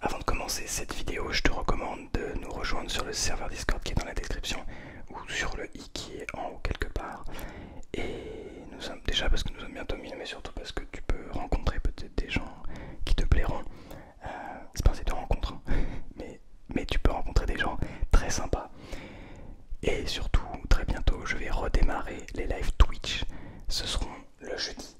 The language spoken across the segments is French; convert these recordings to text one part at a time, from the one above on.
Avant de commencer cette vidéo, je te recommande de nous rejoindre sur le serveur Discord qui est dans la description ou sur le i qui est en haut quelque part. Et nous sommes déjà parce que nous sommes bientôt mille, mais surtout parce que tu peux rencontrer peut-être des gens qui te plairont. Euh, c'est pas si de rencontre, hein, mais, mais tu peux rencontrer des gens très sympas. Et surtout, très bientôt, je vais redémarrer les lives Twitch. Ce seront le jeudi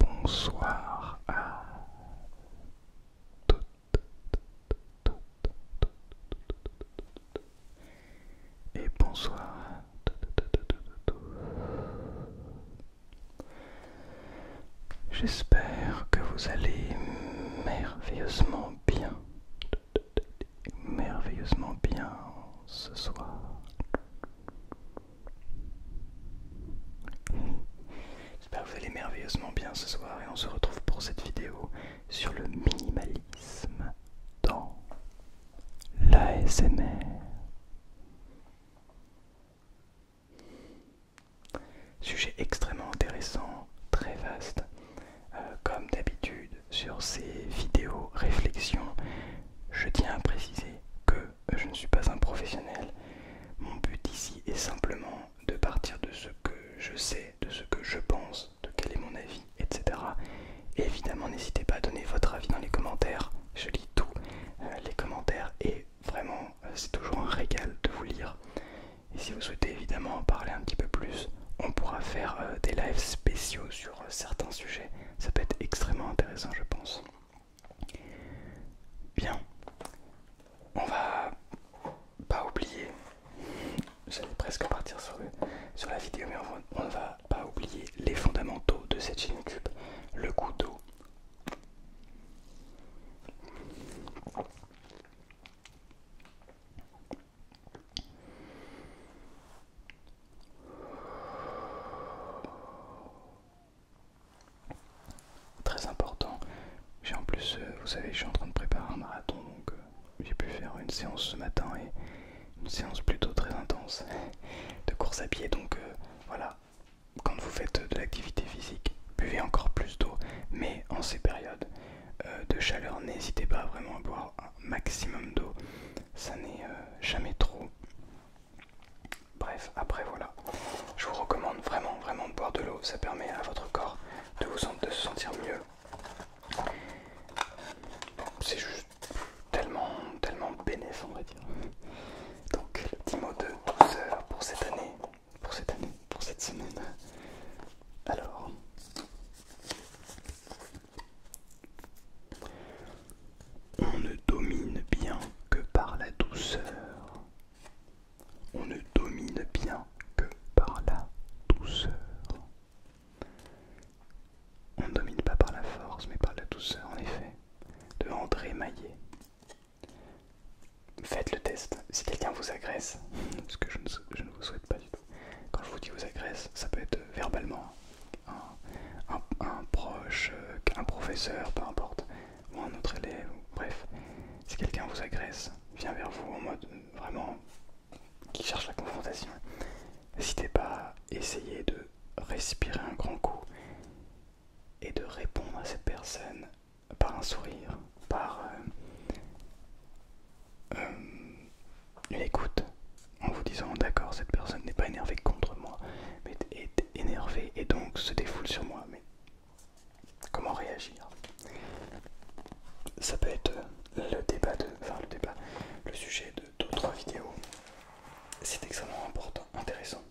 Bonsoir à et bonsoir J'espère que vous allez merveilleusement bien merveilleusement bien ce soir. J'espère que vous allez merveilleusement bien ce soir et on se retrouve pour cette vidéo sur le minimalisme dans l'ASMR. Sujet extrêmement intéressant, très vaste. Euh, comme d'habitude sur ces vidéos réflexions, je tiens à préciser que je ne suis pas un professionnel. Mon but ici est simplement de partir de ce que je sais, de ce que je pense, de quel est mon avis, etc. évidemment, n'hésitez pas à donner votre avis dans les commentaires. Je lis tous euh, les commentaires et vraiment, euh, c'est toujours un régal de vous lire. Et si vous souhaitez évidemment en parler un petit peu plus, on pourra faire des lives spéciaux sur euh, certains sujets. Ça peut être extrêmement intéressant, je pense. Bien, on va pas oublier. J'allais presque partir sur, sur la vidéo, mais on ne va pas oublier les fondamentaux de cette chaîne YouTube. Le couteau. Très important. J'ai en plus, euh, vous savez, je suis en train de préparer un marathon, donc euh, j'ai pu faire une séance ce matin et une séance plutôt très intense de course à pied. Donc euh, voilà, quand vous faites de l'activité physique, buvez encore plus d'eau, mais en ces périodes, euh, de chaleur, n'hésitez pas vraiment à boire un maximum d'eau, ça n'est euh, jamais trop. Bref, après voilà, je vous recommande vraiment vraiment de boire de l'eau, ça permet à votre corps de, se sentir mieux. C'est juste tellement, tellement bénéfique, on va dire. Donc, le petit de 12 heures pour cette année, pour cette année, pour cette semaine. Alors, on ne domine bien que par la douceur. On ne domine bien que par la douceur. On ne domine pas par la force, mais par la douceur, en effet. De André Maillet. Faites le test. Si quelqu'un vous agresse, ce que je ne, vous souhaite pas du tout. Quand je vous dis vous agresse, ça peut être euh, verbalement un, proche, euh, un professeur, peu importe, ou un autre élève, bref. Si quelqu'un vous agresse, vient vers vous en mode euh, vraiment qui cherche la confrontation, n'hésitez pas à essayer de respirer un grand coup et de répondre à cette personne par un sourire, par une euh, écoute en vous disant d'accord cette personne n'est pas énervée contre moi mais est énervée et donc se défoule sur moi mais comment réagir ça peut être le débat de enfin le débat le sujet de d'autres vidéos c'est extrêmement important intéressant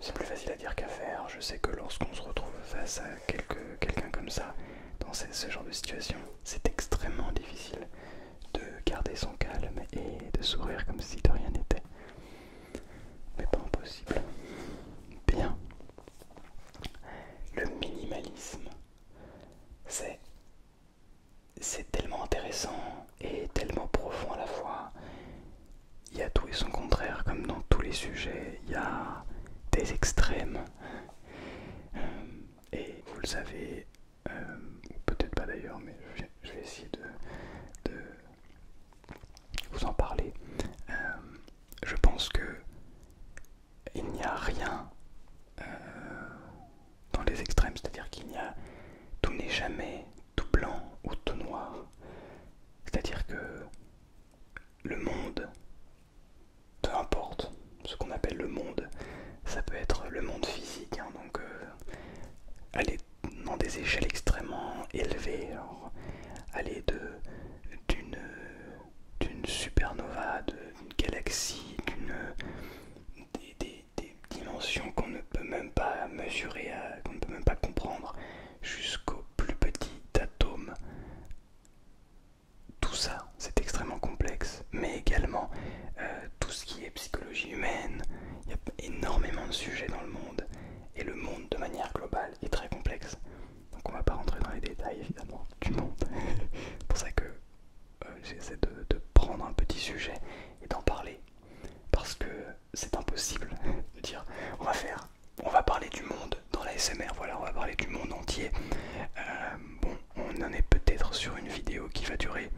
c'est plus facile à dire qu'à faire je sais que lorsqu'on se retrouve face à quelqu'un comme ça dans ce genre de situation c'est extrêmement difficile de garder son calme et de sourire comme si de rien n'était. Mais pas impossible. Bien. Le minimalisme, c'est c'est tellement intéressant et tellement profond à la fois. Il y a tout et son contraire, comme dans tous les sujets. Il y a des extrêmes. Euh, et vous le savez, euh, peut-être pas d'ailleurs, mais je vais, essayer de, vous en parler. Euh, je pense que il n'y a rien euh, dans les extrêmes, c'est-à-dire qu'il n'y a tout n'est jamais tout blanc ou tout noir. C'est-à-dire que le monde peu importe ce qu'on appelle le monde, ça peut être le monde physique, hein, donc euh, aller dans des échelles extrêmement élevées, aller d'une d'une supernova, d'une galaxie, d'une des, des dimensions qu'on ne peut même pas mesurer, qu'on ne peut même pas comprendre, jusqu'au plus petit atome tout ça, c'est extrêmement complexe, mais également euh, tout ce qui est psychologie humaine. Il y a énormément de sujets dans le monde, et le monde de manière globale est très complexe. Donc on va pas rentrer dans les détails évidemment du monde. c'est pour ça que euh, j'essaie de, prendre un petit sujet et d'en parler, parce que c'est impossible de dire on va faire on va parler du monde dans la SMR, voilà, on va parler du monde entier. Euh, bon, on en est peut-être sur une vidéo qui va durer.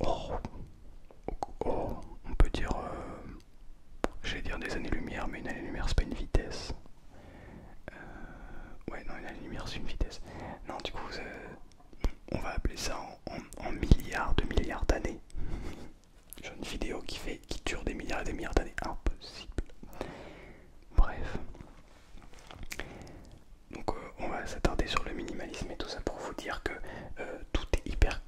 Oh, oh on peut dire. Euh, j'allais dire des années-lumière, mais une année-lumière c'est pas une vitesse. Euh, ouais, non, une année-lumière c'est une vitesse. Non, du coup, on va appeler ça en, milliards de milliards d'années. Genre une vidéo qui, fait, qui dure des milliards et des milliards d'années. Impossible. Bref. Donc euh, on va s'attarder sur le minimalisme et tout ça pour vous dire que euh, tout est hyper,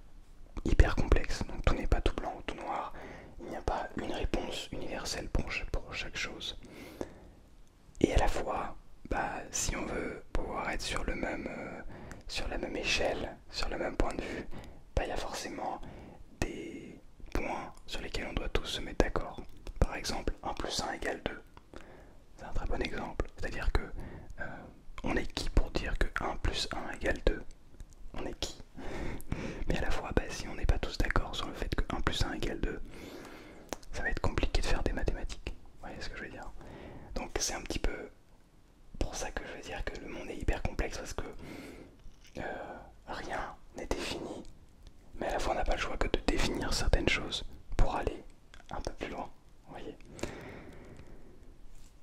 hyper complexe. Donc tout n'est pas tout blanc ou tout noir. Il n'y a pas une réponse universelle pour, chaque chose. Et à la fois, bah, si on veut pouvoir être sur, le même, euh, sur la même échelle, sur le même point de vue, bah, il y a forcément des, points sur lesquels on doit tous se mettre d'accord. Par exemple, 1 plus 1 égale 2. C'est un très bon exemple. C'est-à-dire que euh, on est qui pour dire que 1 plus 1 égale 2 On est qui Mais à la fois, bah, si on n'est pas tous d'accord sur le fait que 1 plus 1 égale 2, ça va être compliqué de faire des mathématiques. Vous voyez ce que je veux dire Donc c'est un petit peu pour ça que je veux dire que le monde est hyper complexe parce que euh, rien n'est défini, mais à la fois on n'a pas le choix que de définir certaines choses pour aller un peu plus loin. voyez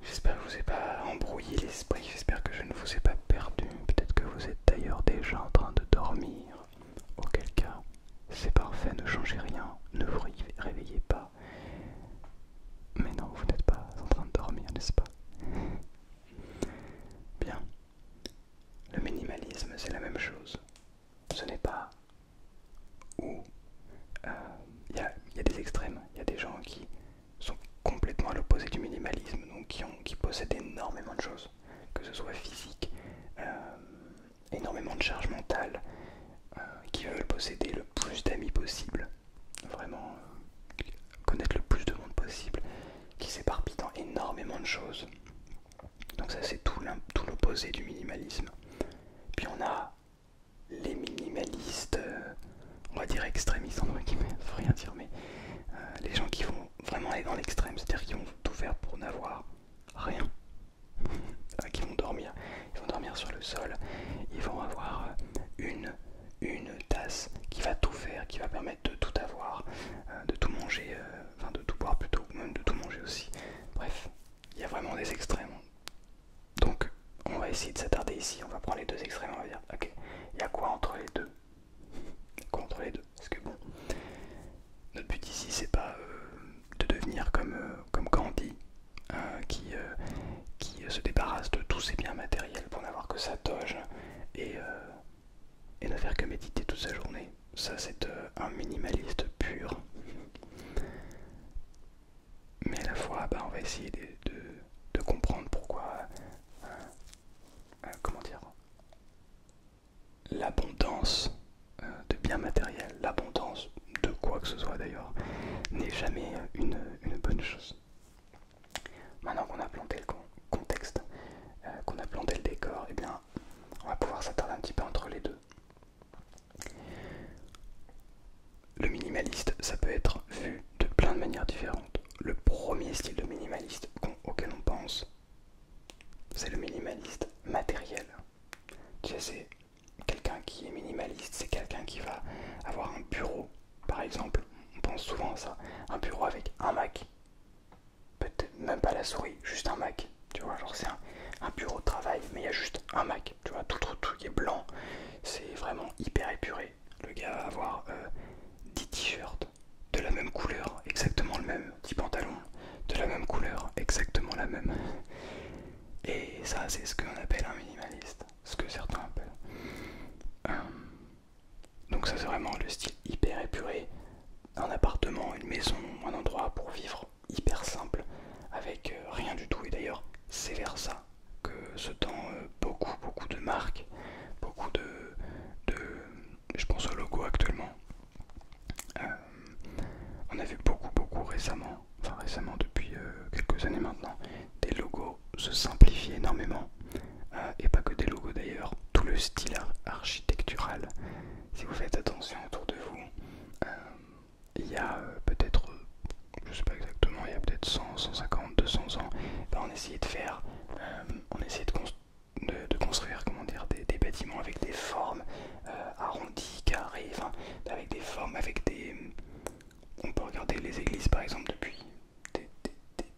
J'espère que je vous ai pas embrouillé l'esprit, j'espère que je ne vous ai pas perdu. Peut-être que vous êtes d'ailleurs déjà en train de dormir. Auquel cas, c'est parfait, ne changez rien, ne vous réveillez pas. Mais non, vous n'êtes pas en train de dormir, n'est-ce pas Bien, le minimalisme, c'est la même chose. Ce n'est pas où euh, il y, a des extrêmes. Il y a des gens qui sont complètement à l'opposé du minimalisme, donc qui, possèdent énormément de choses, que ce soit physique, euh, énormément de charge mentale, euh, qui veulent posséder le plus d'amis possible, vraiment connaître le plus de monde possible, qui s'éparpille dans énormément de choses. Donc ça c'est tout l'opposé du minimalisme. Puis on a les minimalistes, euh, on va dire extrémistes on ne faut rien dire, mais euh, les gens qui vont vraiment aller dans l'extrême, c'est-à-dire qui vont tout faire pour n'avoir rien. qui vont dormir, ils vont dormir sur le sol, ils vont avoir une une tasse qui va tout faire, qui va permettre de tout avoir, euh, de tout manger, euh, enfin de tout boire plutôt, même de tout manger aussi. Bref, il y a vraiment des extrêmes. Donc on va essayer de s'attarder ici, on va prendre les deux extrêmes, on va dire, ok, il y a quoi entre les deux Quoi entre les deux Parce que bon, notre but ici c'est pas euh, de devenir comme, comme Gandhi, hein, qui, qui se débarrasse de tous ses biens matériels pour n'avoir que sa toge et et ne faire que méditer toute sa journée. Ça, c'est euh, un minimaliste pur. Mais à la fois, bah, on va essayer de, comprendre pourquoi, euh, euh, l'abondance de biens matériels, l'abondance de quoi que ce soit d'ailleurs, n'est jamais une bonne chose. Maintenant qu'on a planté le contexte, euh, qu'on a planté le décor, eh bien on va pouvoir s'attarder un petit peu entre les deux. Le minimaliste, ça peut être vu de plein de manières différentes. Le premier style de minimaliste auquel on pense, c'est le minimaliste matériel. Tu c'est quelqu'un qui est minimaliste, c'est quelqu'un qui va avoir un bureau, par exemple. On pense souvent à ça, un bureau avec un Mac, peut-être même pas la souris, juste un Mac. Tu vois, genre c'est un, bureau de travail, mais il y a juste un Mac. Tu vois, tout le truc est blanc. C'est vraiment hyper épuré. Le gars va avoir 10 euh, t-shirts de la même couleur, exactement le même. 10 pantalons de la même couleur, exactement la même. Et ça, c'est ce qu'on appelle un minimaliste, ce que certains appellent. Donc ça c'est vraiment le style hyper épuré, un appartement, une maison, un endroit pour vivre hyper simple, avec euh, rien du tout. Et d'ailleurs c'est vers ça que se tend euh, beaucoup beaucoup de marques, beaucoup de, de je pense aux logo actuellement. Euh, on a vu beaucoup beaucoup récemment, enfin récemment depuis quelques années maintenant, des logos se simplifie énormément, euh, et pas que des logos d'ailleurs, tout le style architectural. Si vous faites attention autour de vous, euh, il y a euh, peut-être, je sais pas exactement, il y a peut-être 100, 150, 200 ans, ben, on essayait de faire, on essayait de, construire comment dire, des, bâtiments avec des formes arrondies, carrées, avec des formes, avec des... On peut regarder les églises par exemple depuis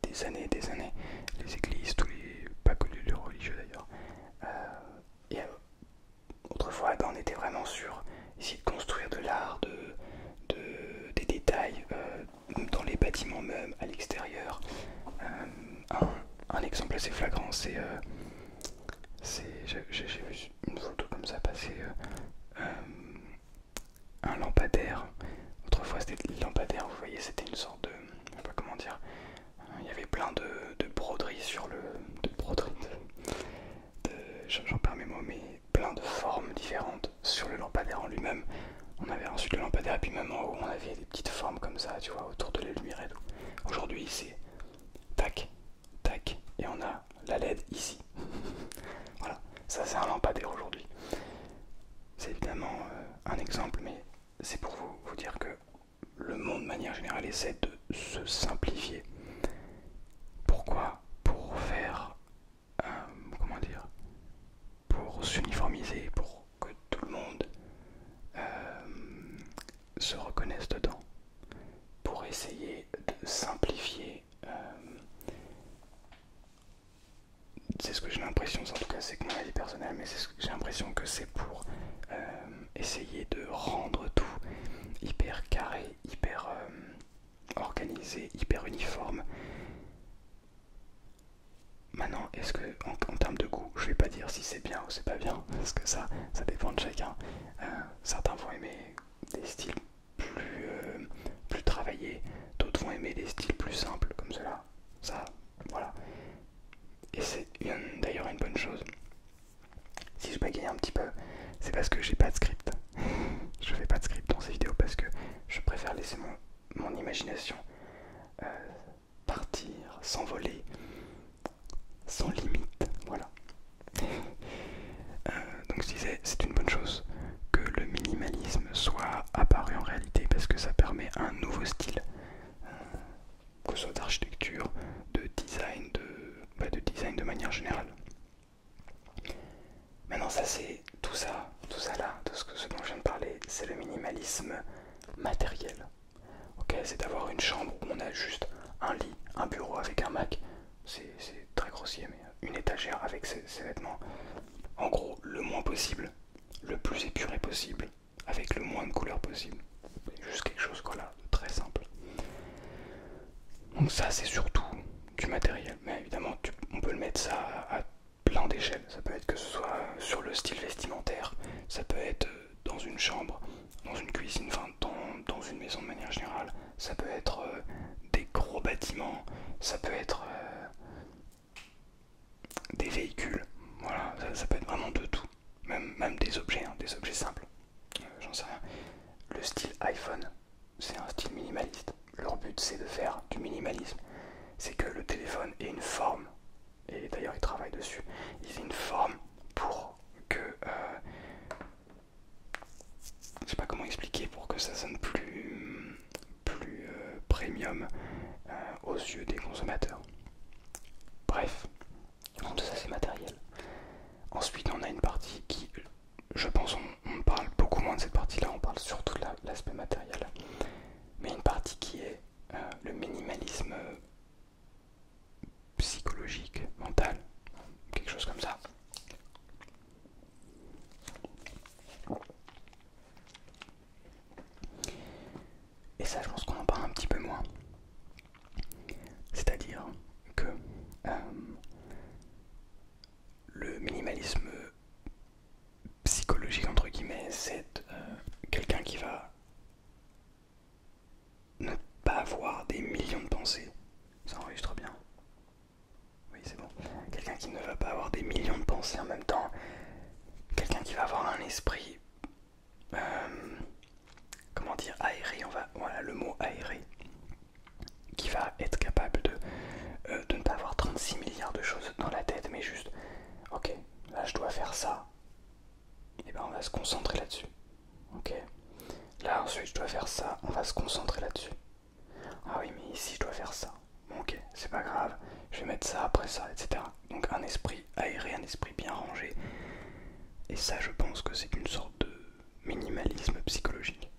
des, années des années, les églises, tous les, pas connus les religieux d'ailleurs. Euh, et euh, autrefois, ben, on était vraiment sur ici de construire de l'art, de, des détails euh, dans les bâtiments même, à l'extérieur. un, exemple assez flagrant, c'est. c'est, j'ai vu une photo comme ça passer un lampadaire. Autrefois, c'était le lampadaire, vous voyez, c'était une sorte de. pas comment dire. Il y avait plein de, broderies sur le. de broderies. J'en perds mes mots, mais plein de formes différentes sur le lampadaire en lui-même. On avait ensuite le lampadaire, et puis même en haut, on avait des petites formes comme ça, tu vois, autour de la lumière et Aujourd'hui, c'est tac, tac, et on a la LED ici. voilà, ça c'est un lampadaire aujourd'hui. C'est évidemment euh, un exemple, mais c'est pour vous, dire que le monde de manière générale essaie de se simplifier. Pourquoi Pour faire... Euh, comment dire Pour s'uniformiser, pour que tout le monde euh, se reconnaisse dedans. Pour essayer de simplifier c'est ce que j'ai l'impression, en tout cas c'est que mon avis personnel, mais c'est ce j'ai l'impression que c'est pour euh, essayer de rendre tout hyper carré, hyper euh, organisé, hyper uniforme. Maintenant, est-ce que en, termes de goût, je vais pas dire si c'est bien ou c'est pas bien, parce que ça, ça dépend de chacun. Euh, certains vont aimer des styles plus, plus travaillés, d'autres vont aimer des styles plus simples comme cela. Ça, voilà. Et c'est d'ailleurs une bonne chose. Si je bégaye un petit peu, c'est parce que j'ai pas de script. je fais pas de script dans ces vidéos parce que je préfère laisser mon, imagination euh, partir, s'envoler, sans limite. Voilà. Euh, donc je disais, c'est une bonne chose que le minimalisme soit apparu en réalité parce que ça permet un nouveau style, euh, que ce soit d'architecture, de design, de, bah, de design de manière générale. Maintenant ça c'est tout ça, tout ça là, de ce, que, dont je viens de parler, c'est le minimalisme matériel. Ok, c'est d'avoir une chambre où on a juste un lit, un bureau avec un Mac. C'est très grossier mais euh, une étagère avec ses, vêtements. En gros, le moins possible, le plus épuré possible, avec le moins de couleurs possible. Juste quelque chose voilà, très simple. Donc ça, c'est surtout du matériel. Mais évidemment, on peut le mettre ça à, plein d'échelles. Ça peut être que ce soit sur le style vestimentaire, ça peut être dans une chambre, dans une cuisine, enfin dans, une maison de manière générale. Ça peut être euh, des gros bâtiments, ça peut être euh, des véhicules, voilà, ça, peut être vraiment de tout, même, même des objets, hein, des objets simples, euh, j'en sais rien. Le style iPhone, c'est un style minimaliste. Leur but c'est de faire du minimalisme, c'est que le téléphone ait une forme, et d'ailleurs ils travaillent dessus, ils aient une forme pour que... Euh, je sais pas comment expliquer pour que ça sonne plus plus euh, premium euh, aux yeux des consommateurs. Bref, tout ça c'est matériel. Ensuite on a une partie qui, je pense, on, parle beaucoup moins de cette partie-là, on parle surtout de l'aspect matériel, mais une partie qui est euh, le minimalisme psychologique, mental, quelque chose comme ça. Et ça, je pense qu'on en parle un petit peu moins. C'est-à-dire que euh, le minimalisme psychologique, entre guillemets, c'est euh, quelqu'un qui va ne pas avoir des millions de pensées. Ça enregistre bien. Oui, c'est bon. Quelqu'un qui ne va pas avoir des millions de pensées en même temps. Quelqu'un qui va avoir un esprit. Euh, comment dire Aéré, on va. Voilà, le mot aéré. Qui va être capable de, euh, de ne pas avoir 36 milliards de choses dans la tête, mais juste. Ok, là je dois faire ça. Et eh ben on va se concentrer là-dessus. Ok. Là ensuite je dois faire ça, on va se concentrer là-dessus. Ah oui, mais ici je dois faire ça. Bon, ok, c'est pas grave, je vais mettre ça après ça, etc. Donc un esprit aéré, un esprit bien rangé. Et ça, je pense que c'est une sorte de minimalisme psychologique,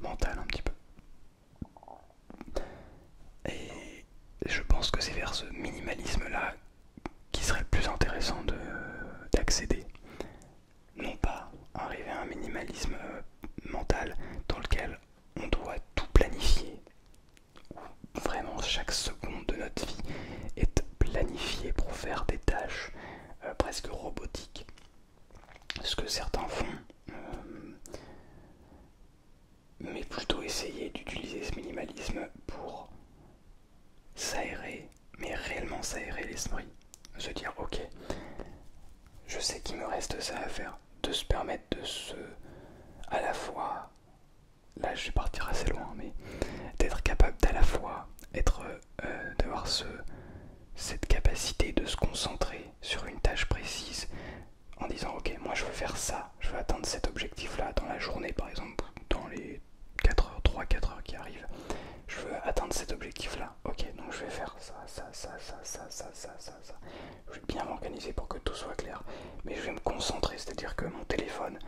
mental un petit peu. Et je pense que c'est vers ce minimalisme-là qui serait le plus intéressant d'accéder. Non pas arriver à un minimalisme euh, mental dans lequel on doit tout planifier, vraiment chaque seconde de notre vie est planifiée pour faire des tâches euh, presque robotiques. Ce que certains font, euh, mais plutôt essayer d'utiliser ce minimalisme pour s'aérer, mais réellement s'aérer l'esprit. Se dire, ok, je sais qu'il me reste ça à faire, de se permettre de se... à la fois... Là je vais partir assez loin, mais d'être capable d'à la fois être... Euh, d'avoir ce, cette capacité de se concentrer sur une tâche précise en disant ok moi je veux faire ça, je veux atteindre cet objectif là dans la journée par exemple, dans les 4 heures, 3, 4 heures qui arrivent, je veux atteindre cet objectif là, ok donc je vais faire ça, ça, ça, ça, ça, ça, ça, ça, ça je vais bien m'organiser pour que tout soit clair, mais je vais me concentrer, c'est-à-dire que mon téléphone,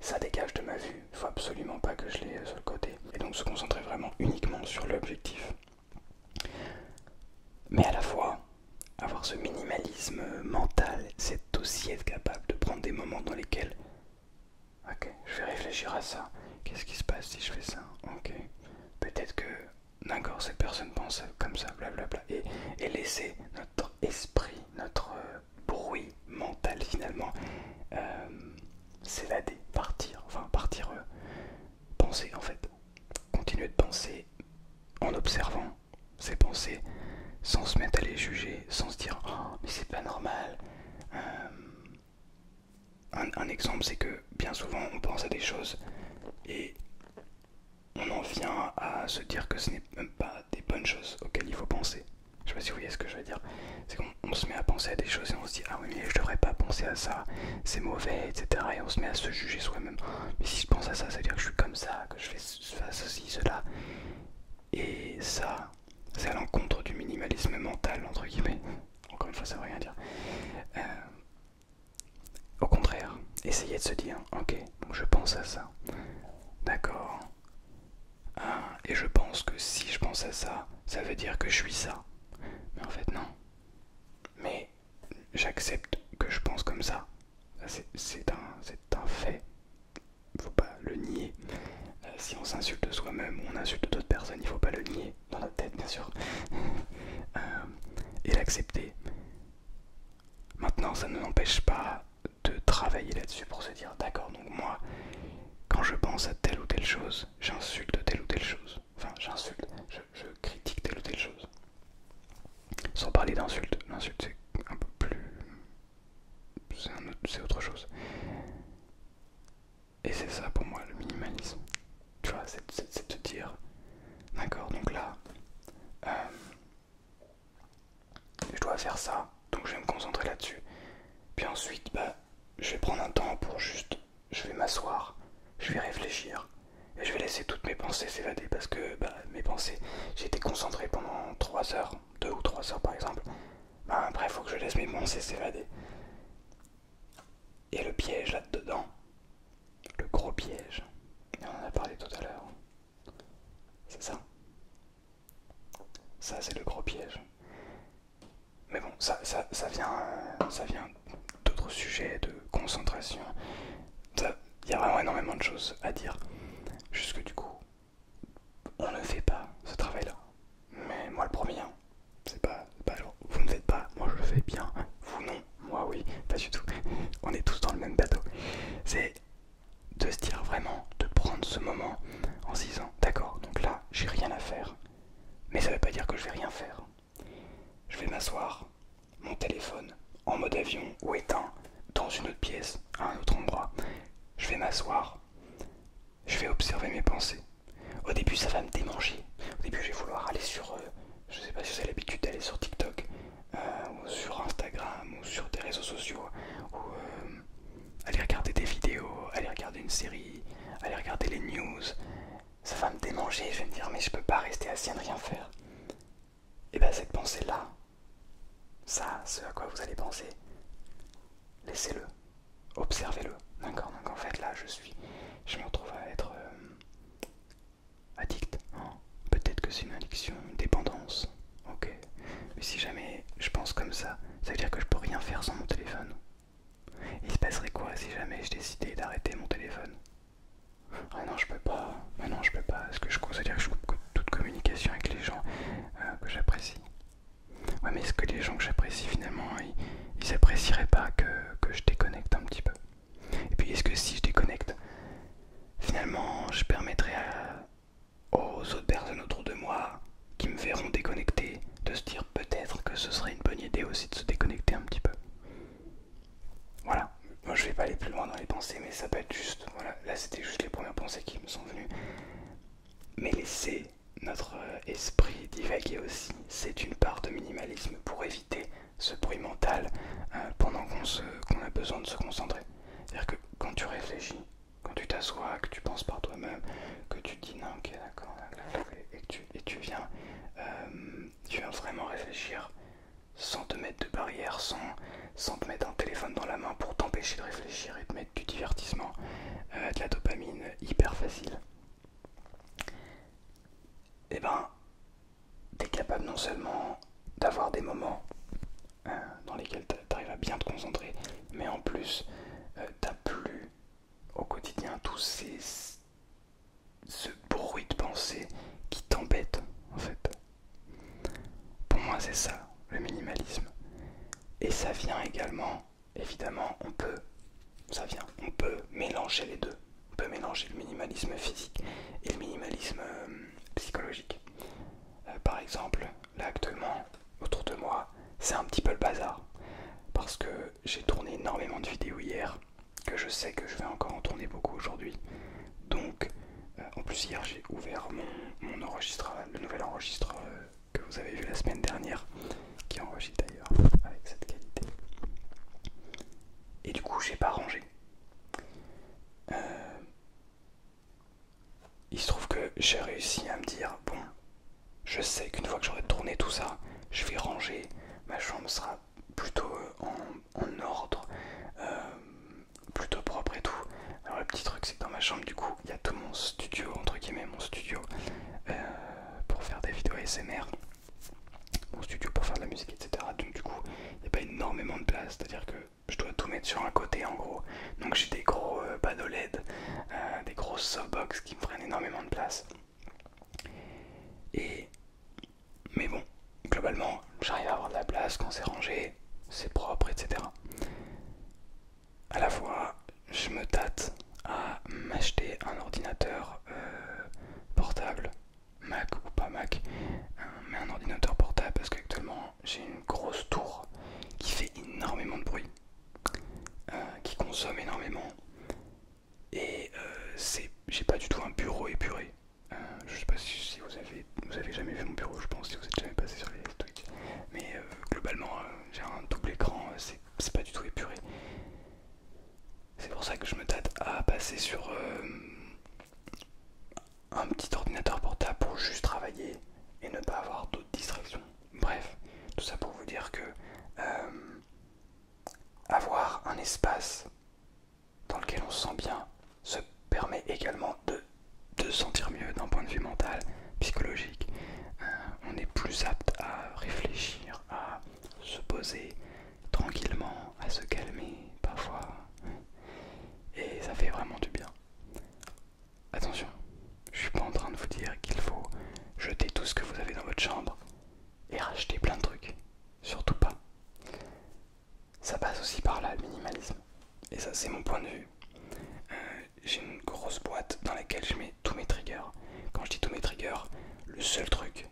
ça dégage de ma vue, il ne faut absolument pas que je l'ai euh, sur le côté, et donc se concentrer vraiment uniquement sur l'objectif. Mais à la fois, avoir ce minimalisme euh, mental, c'est aussi être capable de prendre des moments dans lesquels, ok, je vais réfléchir à ça, qu'est-ce qui se passe si je fais ça, ok, peut-être que d'accord, ces personnes pensent comme ça, blablabla, et, et laisser notre esprit, notre euh, bruit mental finalement c'est euh, s'évader, partir, enfin partir, euh, penser en fait, continuer de penser en observant ses pensées sans se mettre à les juger, sans se dire oh, mais c'est pas normal un, exemple, c'est que bien souvent on pense à des choses et on en vient à se dire que ce n'est même pas des bonnes choses auxquelles il faut penser. Je sais pas si vous voyez ce que je veux dire. C'est qu'on se met à penser à des choses et on se dit Ah oui, mais je devrais pas penser à ça, c'est mauvais, etc. Et on se met à se juger soi-même. Mais si je pense à ça, ça veut dire que je suis comme ça, que je fais ceci, cela. Et ça, c'est à l'encontre du minimalisme mental, entre guillemets. Encore une fois, ça veut rien dire. Euh, au contraire, essayez de se dire, ok, je pense à ça. D'accord. Ah, et je pense que si je pense à ça, ça veut dire que je suis ça. Mais en fait non. Mais j'accepte que je pense comme ça. C'est un, un fait. Faut pas le nier. Euh, si on s'insulte soi-même on insulte d'autres personnes, il faut pas le nier dans la tête bien sûr. Euh, et l'accepter. Maintenant, ça ne empêche pas de travailler là-dessus pour se dire d'accord, donc moi, quand je pense à telle ou telle chose, j'insulte telle ou telle chose. Enfin, j'insulte, je, je critique telle ou telle chose. Sans parler d'insulte, l'insulte c'est un peu plus... c'est autre chose. Et c'est ça pour moi le minimalisme. Tu vois, c'est te dire. D'accord, donc là, euh, je dois faire ça, donc je vais me concentrer là-dessus. Puis ensuite, bah, je vais prendre un temps pour juste, je vais m'asseoir, je vais réfléchir. Et je vais laisser toutes mes pensées s'évader parce que bah, mes pensées, j'ai été concentré pendant 3 heures, 2 ou 3 heures par exemple. Bah, après, il faut que je laisse mes pensées s'évader. Et le piège là-dedans, le gros piège, et on en a parlé tout à l'heure, c'est ça. Ça, c'est le gros piège. Mais bon, ça, ça, vient, euh, ça vient d'autres sujets, de concentration. Il y a vraiment énormément de choses à dire. Jusque du coup, on ne fait pas ce travail-là. Mais moi le premier, hein, c'est pas, vous ne faites pas, moi je le fais bien, vous non, moi oui, pas du tout. On est tous dans le même bateau. C'est de se dire vraiment, de prendre ce moment en se disant, d'accord, donc là, j'ai rien à faire. Mais ça veut pas dire que je vais rien faire. Je vais m'asseoir, mon téléphone, en mode avion ou éteint, dans une autre pièce, à un autre endroit. Je vais m'asseoir, je vais observer mes pensées. Au début, ça va me démanger. Au début, je vais vouloir aller sur. je euh, je sais pas si vous avez l'habitude d'aller sur TikTok, euh, ou sur Instagram, ou sur des réseaux sociaux, ou euh, aller regarder des vidéos, aller regarder une série, aller regarder les news. Ça va me démanger. Je vais me dire, mais je peux pas rester assis à ne rien faire. Et eh bien, cette pensée-là, ça, ce à quoi vous allez penser, laissez-le, observez-le. D'accord Donc, en fait, là, je suis. Je me retrouve à être addict. Peut-être que c'est une addiction, une dépendance. Ok. Mais si jamais je pense comme ça, ça veut dire que je peux rien faire sans mon téléphone. Il se passerait quoi si jamais je décidais d'arrêter mon téléphone Ah non, je peux pas. Ah non, je peux pas. Est-ce que je considère que je coupe toute communication avec les gens euh, que j'apprécie Ouais, mais est-ce que les gens que j'apprécie finalement, ils apprécieraient pas que, je déconnecte un petit peu. Et puis est-ce que si je déconnecte, finalement je permettrai aux autres personnes autour de moi qui me verront déconnecter de se dire peut-être que ce serait une bonne idée aussi de se déconnecter un petit peu. Voilà, moi je vais pas aller plus loin dans les pensées, mais ça peut être juste, voilà, là c'était juste les premières pensées qui me sont venues. Mais laisser notre euh, esprit divaguer aussi c'est une part de minimalisme pour éviter ce bruit mental euh, pendant qu'on a besoin de se concentrer. C'est-à-dire que quand tu réfléchis, quand tu t'assois, que tu penses par toi-même, que tu te dis non, ok, d'accord, et, et, tu, viens, euh, tu viens vraiment réfléchir sans te mettre de barrière, sans, sans te mettre un téléphone dans la main pour t'empêcher de réfléchir et de mettre du divertissement, euh, de la dopamine hyper facile et eh ben, t'es capable non seulement d'avoir des moments euh, dans lesquels t'arrives à bien te concentrer, mais en plus, euh, t'as plus au quotidien tous ces ce bruit de pensée qui t'embête en fait. Pour moi, c'est ça le minimalisme, et ça vient également évidemment, on peut, ça vient, on peut mélanger les deux. On peut mélanger le minimalisme physique et le minimalisme euh, psychologique. Euh, par exemple, là actuellement, autour de moi, c'est un petit peu le bazar. Parce que j'ai tourné énormément de vidéos hier, que je sais que je vais encore en tourner beaucoup aujourd'hui. Donc, euh, en plus hier j'ai ouvert mon, le nouvel enregistre que vous avez vu la semaine dernière qui enregistre d'ailleurs avec cette qualité. Et du coup, j'ai pas rangé. Euh, il se trouve que j'ai réussi à me dire bon, je sais qu'une fois que j'aurai tourné tout ça, je vais ranger. Ma chambre sera plutôt euh, en, ordre, euh, plutôt propre et tout. Alors le petit truc, c'est que dans ma chambre, du coup, il y a tout mon studio entre guillemets, mon studio pour faire des vidéos ASMR mon studio pour faire de la musique, etc. Donc du coup, il n'y a pas énormément de place, c'est-à-dire que je dois tout mettre sur un côté en gros. Donc j'ai des gros euh, panneaux LED, euh, des grosses softbox qui me prennent énormément de place. Et mais bon, globalement, j'arrive à avoir de la place quand c'est rangé, c'est propre, etc. À la fois, je me tâte à m'acheter un ordinateur euh, portable, Mac ou pas Mac, hein, mais un ordinateur portable parce qu'actuellement j'ai une grosse tour qui fait énormément de bruit, hein, qui consomme énormément, et euh, j'ai pas du tout un bureau épuré. Hein. je sais pas si vous avez, vous avez jamais vu mon bureau, je pense, si vous êtes jamais passé sur les Twitch, mais euh, globalement euh, j'ai un double écran, c'est pas du tout épuré. C'est pour ça que je me tâte à passer sur euh, un petit ordinateur portable pour juste travailler et ne pas avoir d'autres distractions. Bref, tout ça pour vous dire que euh, avoir un espace dans lequel on se sent bien se permet également de, se sentir mieux d'un point de vue mental, psychologique. Euh, on est plus apte à réfléchir, à se poser tranquillement, à se calmer parfois. Et ça fait vraiment du bien. Attention, je suis pas en train de vous dire qu'il faut jeter tout ce que vous avez dans votre chambre et racheter plein de trucs. Surtout pas. Ça passe aussi par là, le minimalisme. Et ça, c'est mon point de vue. Euh, j'ai une grosse boîte dans laquelle je mets tous mes triggers. Quand je dis tous mes triggers, le seul truc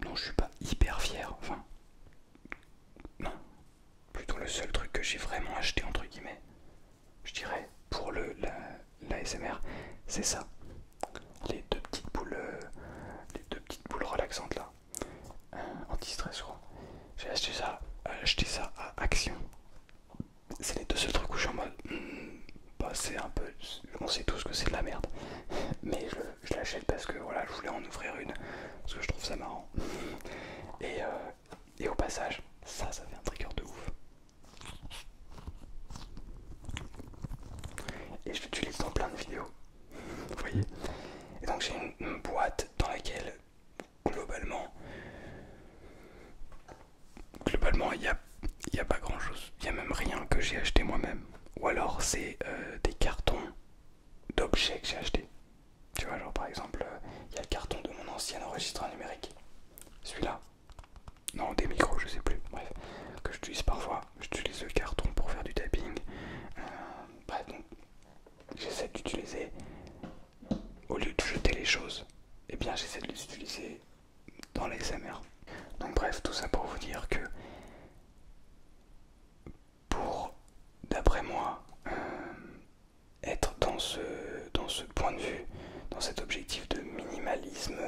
dont je suis pas hyper fier, enfin, plutôt le seul truc que j'ai vraiment acheté, entre guillemets, je dirais, pour le la, c'est ça. Les deux petites boules, euh, les deux petites boules relaxantes là, euh, anti-stress, quoi. J'ai acheté ça, acheté ça à Action. C'est les deux seuls trucs où je suis en mode. Hmm, bah, c'est un peu. On sait tous que c'est de la merde, mais je, l'achète parce que voilà, je voulais en ouvrir une parce que je trouve ça marrant. Euh, et, au passage, ça, ça fait un trigger de ouf. Et je l'utilise dans plein de vidéos, vous voyez. Et donc j'ai une boîte dans laquelle globalement globalement, il n'y a, pas grand chose. Il n'y a même rien que j'ai acheté moi-même. Ou alors, c'est euh, des cartons d'objets que j'ai acheté. Tu vois, par exemple, euh, il y a le carton de mon ancien enregistreur numérique. Celui-là. Non, des micros, je sais plus. Bref, que j'utilise parfois. J'utilise le carton pour faire du tapping. Euh, bref, j'essaie d'utiliser. Au lieu de jeter les choses, eh bien, j'essaie de les utiliser dans les Donc bref, tout ça pour vous dire que pour, d'après moi, euh, être dans ce, dans ce point de vue, dans cet objectif de minimalisme,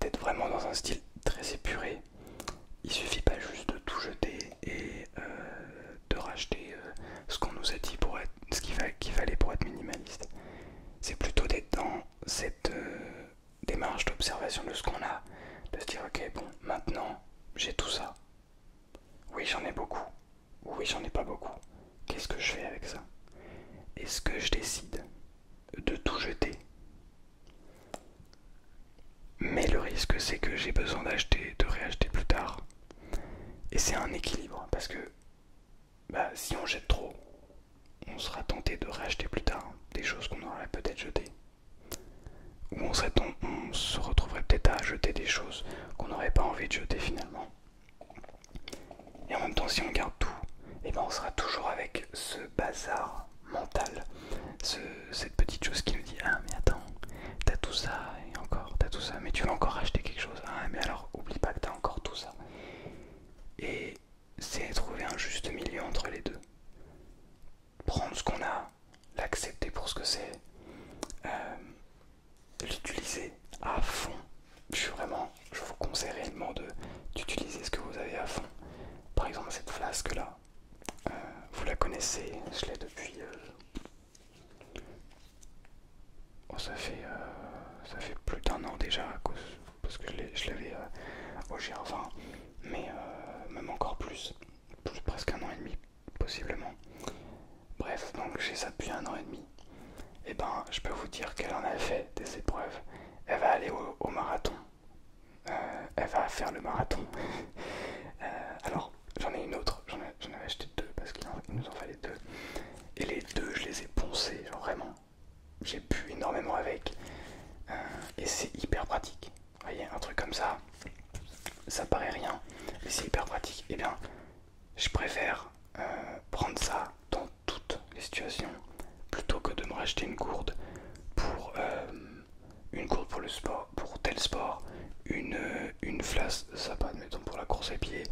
d'être vraiment dans un style très épuré, il suffit pas juste de tout jeter et euh, de racheter euh, ce qu'on nous a dit pour être, ce qu'il fallait pour être minimaliste. C'est plutôt d'être dans cette euh, démarche d'observation de ce qu'on a, de se dire ok bon maintenant j'ai tout ça. Oui j'en ai beaucoup. Oui j'en ai pas beaucoup. Qu'est-ce que je fais avec ça Est-ce que je décide de tout jeter Mais le risque c'est que j'ai besoin d'acheter, de réacheter plus tard. Et c'est un équilibre parce que bah, si on jette trop, on sera tenté de racheter plus tard des choses qu'on aurait peut-être jetées. Ou on, on, se retrouverait peut-être à jeter des choses qu'on n'aurait pas envie de jeter finalement. Et en même temps, si on garde tout, et eh ben on sera toujours avec ce bazar mental, cette petite chose qui nous dit Ah, mais attends, t'as tout ça, et encore, t'as tout ça, mais tu vas encore acheter quelque chose. Ah, mais alors, oublie pas que t'as encore tout ça et c'est trouver un juste milieu entre les deux. Prendre ce qu'on a, l'accepter pour ce que c'est, euh, l'utiliser à fond. Je vraiment, je vous conseille réellement d'utiliser ce que vous avez à fond. Par exemple, cette flasque là, euh, vous la connaissez, je l'ai depuis. Euh, Oh, ça fait euh, ça fait plus d'un an déjà à cause, parce que je l'avais euh, au GR20, mais euh, même encore plus, plus, presque un an et demi possiblement. Bref, donc j'ai ça depuis un an et demi. Et eh ben, je peux vous dire qu'elle en a fait des épreuves. Elle va aller au, marathon. elle va faire le marathon. alors, j'en ai une autre. J'en avais acheté deux parce qu'il nous en fallait deux. Et les deux, je les ai poncés, vraiment j'ai pu énormément avec euh, et c'est hyper pratique. Vous voyez, un truc comme ça, ça paraît rien, mais c'est hyper pratique. Et eh bien, je préfère euh, prendre ça dans toutes les situations plutôt que de me racheter une courde pour euh, une courde pour le sport, pour tel sport, une, une flasque, ça pas admettons pour la course à pied,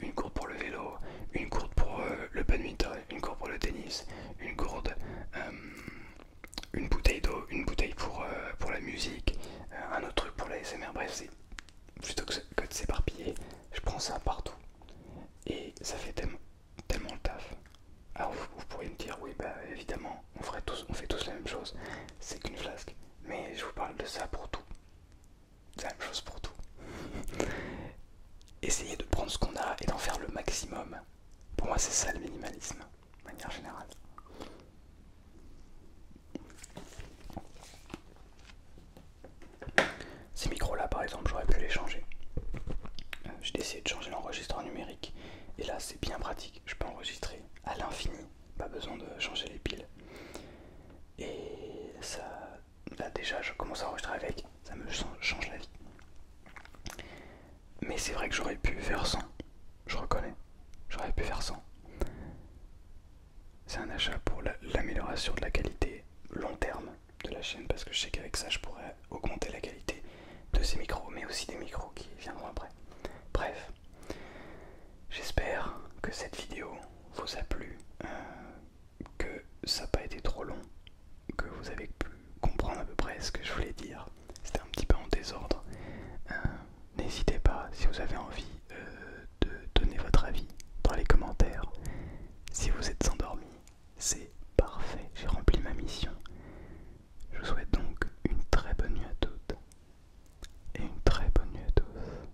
une courte pour le vélo, une courte pour le badminton, une courbe pour le tennis, une gourde, euh, une bouteille d'eau, une bouteille pour, euh, pour la musique, euh, un autre truc pour la SMR. Bref, plutôt que, de s'éparpiller, je prends ça partout et ça fait tellement, le taf. Alors vous, pourriez me dire, oui, bah évidemment, on, ferait tous, on fait tous la même chose, c'est qu'une flasque, mais je vous parle de ça pour tout. C'est la même chose pour tout. Essayer de prendre ce qu'on a et d'en faire le maximum. Pour moi, c'est ça le minimalisme, de manière générale. Ces micros-là, par exemple, j'aurais pu les changer. Euh, j'ai essayé de changer l'enregistreur numérique. Et là, c'est bien pratique. Je peux enregistrer à l'infini. Pas besoin de changer les piles. Et ça, là déjà je commence à enregistrer avec, ça me change la vie. Mais c'est vrai que j'aurais pu faire 100, je reconnais, j'aurais pu faire 100. C'est un achat pour l'amélioration de la qualité long terme de la chaîne parce que je sais qu'avec ça je pourrais augmenter la qualité de ces micros mais aussi des micros qui viendront après. Bref, j'espère que cette vidéo vous a plu. Euh, que ça n'a pas été trop long, que vous avez pu comprendre à peu près ce que je voulais dire. C'était un petit peu en désordre. Euh, n'hésitez pas si vous avez envie euh, de donner votre avis dans les commentaires. Si vous êtes endormi, c'est parfait, j'ai rempli ma mission. Je vous souhaite donc une très bonne nuit à toutes et une très bonne nuit à tous.